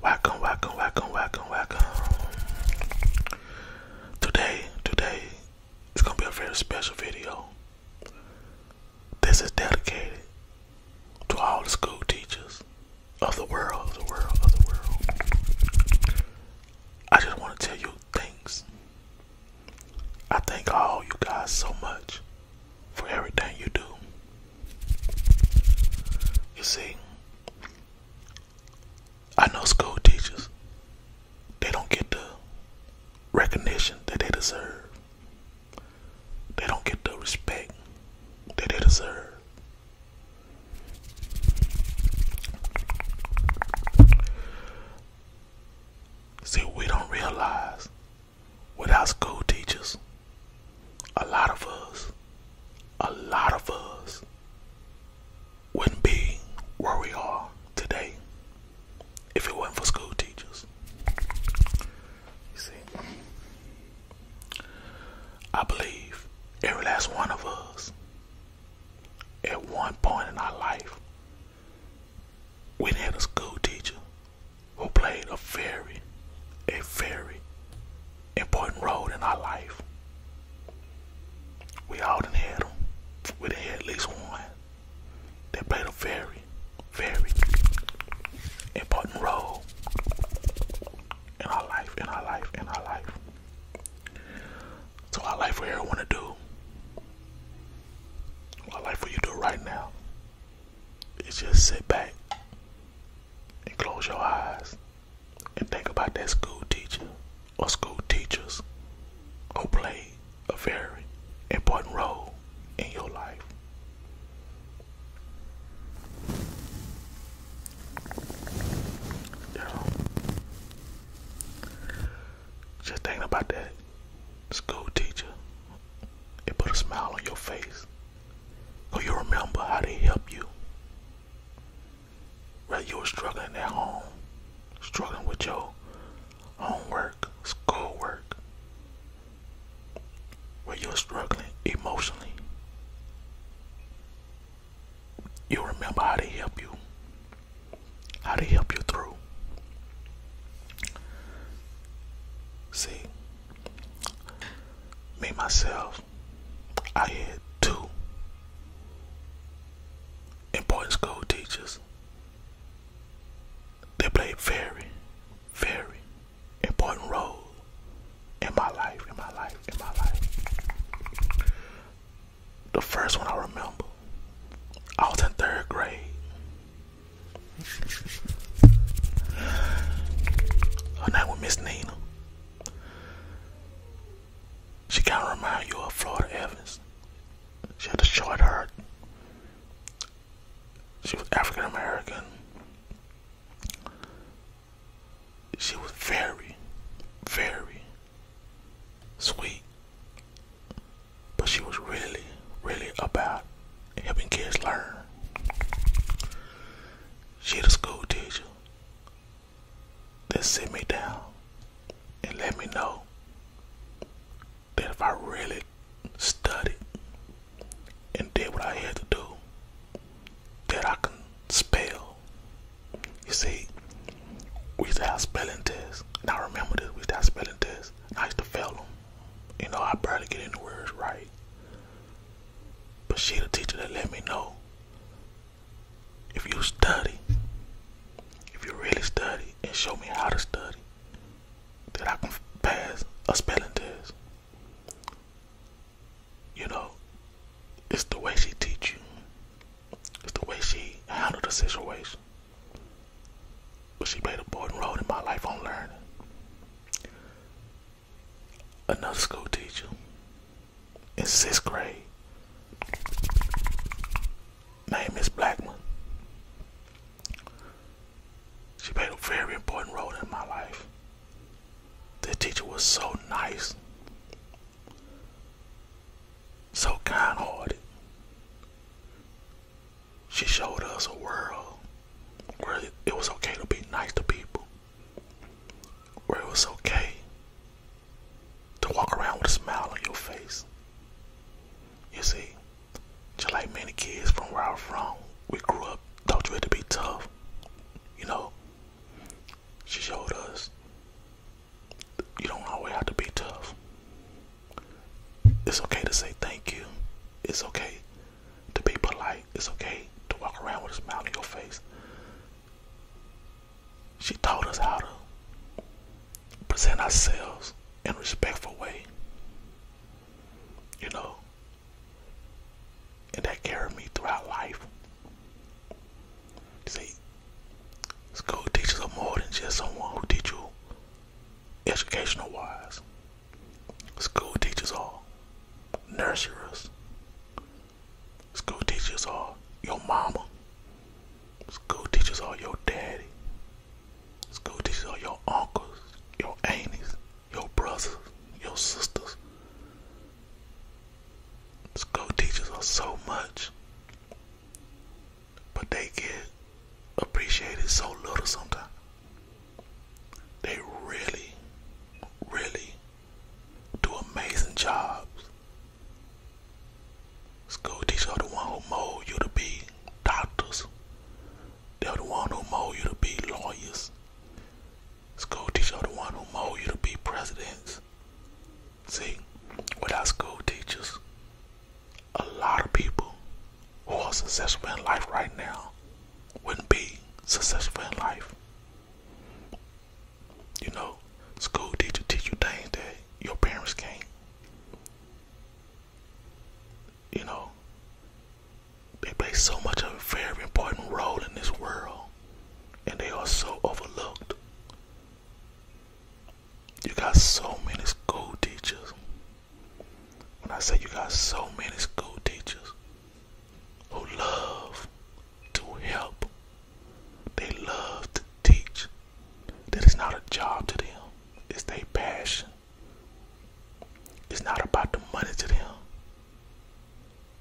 Welcome, welcome, welcome, welcome, welcome. Today, today, it's gonna be a very special video. This is dedicated to all the school teachers of the world, of the world, of the world. I just want to tell you thanks. I thank all you guys so much for everything you do. You see, I know school teachers, they don't get the recognition that they deserve. They don't get the respect that they deserve. See, we don't realize Without school teachers. A lot of us, a lot of us wouldn't be where we are today if it were not for school teachers. You see, I believe every last one of us at one point in our life we had a school teacher who played a very, a very important role in our life. We all done had them. We had at least one that played a very, very important role in our life, in our life, in our life. So our life for everyone to do. Our life for you do right now is just sit back and close your eyes and think about that school teacher or school teachers who played a very important role in your life. You know, just think about that school teacher it put a smile on your face. Cause you remember how they helped you. Whether you were struggling at home, struggling with your homework, schoolwork, where you're struggling emotionally, you remember how they help you how to help you through. See, me myself, I had two important school teachers. They played very, very important role in my life, in my life, in my life. The first one I remember, I was in third grade. Her name was Miss Nina. She kind of remind you of Florida Evans. She had a short hair. She was African American. She was very, very sweet but she was really, really about helping kids learn. She the school teacher that sit me down and let me know that if I really studied and did what I had to do, that I can spell. You see, we used spelling tests, Now remember this, we used spelling tests nice to fail them. You know, I barely get any words right. But she the teacher that let me know. If you study, if you really study and show me how to study, that I can pass a spelling test. You know, it's the way she teach you. It's the way she handled the situation. But she played an important role in my life on learning. Another school teacher in sixth grade name is Blackman. She played a very important role in my life. The teacher was so nice, so kind hearted, she showed us a world where it was okay to be nice to people, where it was okay to walk around with a smile on your face. You see, just like many kids from where I'm from, we grew up, taught you had to be tough. You know, she showed us you don't always have to be tough. It's okay to say thank you. It's okay to be polite. It's okay to walk around with a smile on your face. She taught us how to present ourselves in a respectful way. You know? And that carried me throughout life. See, school teachers are more than just someone who teach you educational wise. School teachers are nurturers. School teachers are your mama. School teachers are your daddy. School teachers are your uncles, your aunts, your brothers, your sisters. School teachers are so much. But they get appreciated so little sometimes. They really, really do amazing jobs. School teachers are the one who mold you to be doctors. They're the one who mold you to be lawyers. School teachers are the one who mold you to be presidents. See, with our school teachers, a lot of people who are successful in life right now wouldn't be successful in life. You know, school teachers teach you things that your parents can't. You know, they play so much of a very important role in this world, and they are so overlooked you got so many school teachers. When I say you got so many school teachers who love to help, they love to teach. That is not a job to them, it's their passion. It's not about the money to them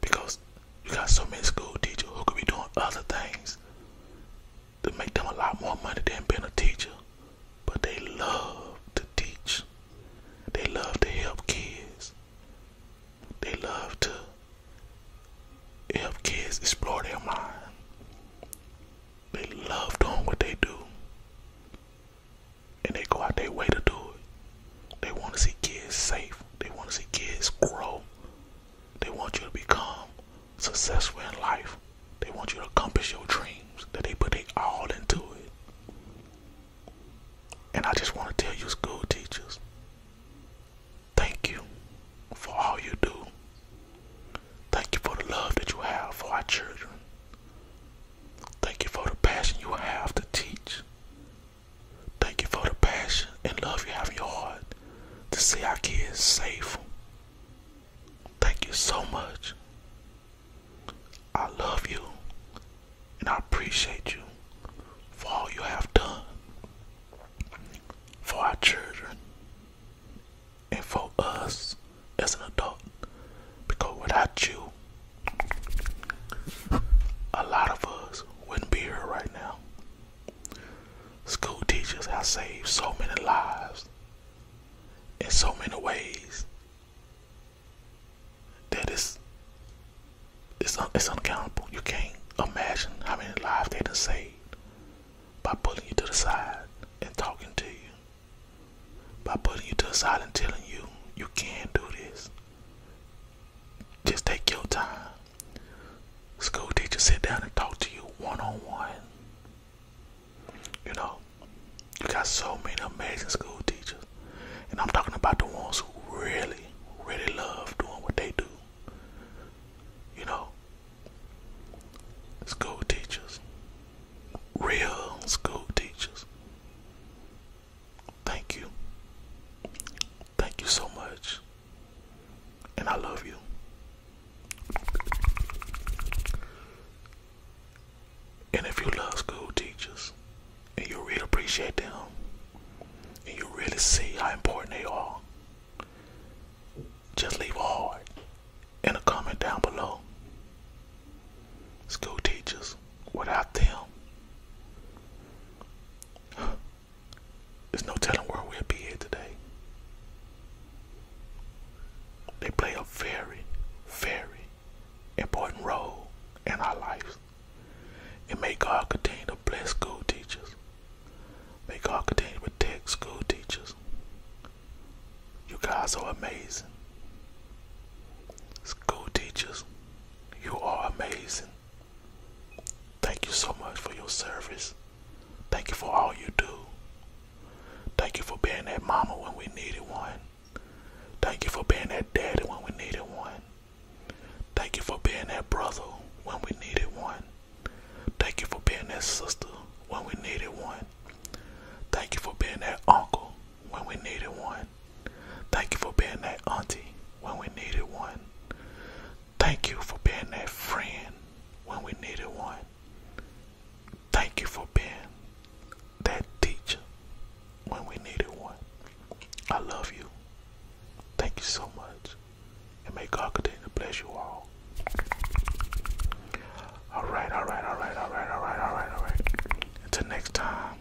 because you got so many school teachers who could be doing other things to make them a lot more money than being a teacher. But they love to teach. They love to help kids. They love to help kids explore their mind. They love doing what they do. And they go out their way to do it. They want to see kids safe. They want to see kids grow. They want you to become successful in life. They want you to accomplish your dreams. That they put their all into it. And I just want to tell you school teachers, thank you for all you do. Thank you for the love that you have for our children. Thank you for the passion you have to teach. Thank you for the passion and love you have in your heart to see our kids safe. Thank you so much. I love you and I appreciate you for all you have done for our children and for us as an adult. Because without you, a lot of us wouldn't be here right now. School teachers have saved so many lives in so many ways that it's it's, un, uncountable. You can't imagine how many lives they have saved by pulling you to the side and talking to you, by putting you to the side and telling you you can't do this, just take your time. School teachers sit down and talk to you one on one. You know, you got so many amazing school teachers. And I'm talking about the ones who really, really love doing what they do. You know, school teachers, real school teachers. Thank you. Thank you so much. And I love you. And if you love school teachers and you really appreciate them and you really see how important they are, just leave a heart in a comment down below. School teachers, without them, there's no telling where we'll be here today. They play a very, very important role in our lives. And may God continue to bless school teachers. May God continue to protect school teachers. You guys are amazing. School teachers you are amazing. Thank you so much for your service. Thank you for all you do. Thank you for being that mama when we needed one. Thank you for being that daddy when we needed one. Thank you for being that brother when we needed one. Thank you for being that sister when we needed one. Thank you for being that uncle when we needed one. Thank you for being that auntie when we needed one. Thank you for being that friend when we needed one. Thank you for being that teacher when we needed one. I love you. Thank you so much. And may God continue to bless you all. Alright, alright, alright, alright, alright, alright, alright. Until next time.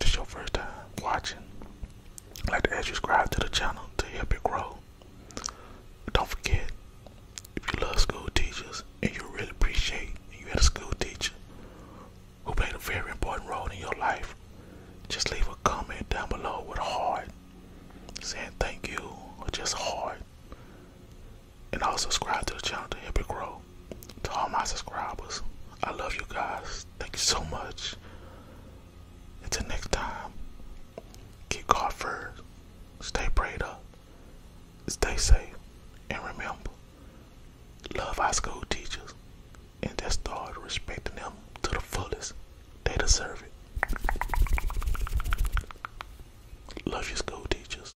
This your first time watching. like to ask subscribe to the channel to help it grow. Don't forget, if you love school teachers and you really appreciate you had a school teacher who played a very important role in your life, just leave a comment down below with a heart saying thank you or just a heart and also subscribe to the channel to help it grow. To all my subscribers, I love you guys. Thank you so much. Until next time, keep God first, stay prayed up, stay safe, and remember, love our school teachers, and just start respecting them to the fullest. They deserve it. Love your school teachers.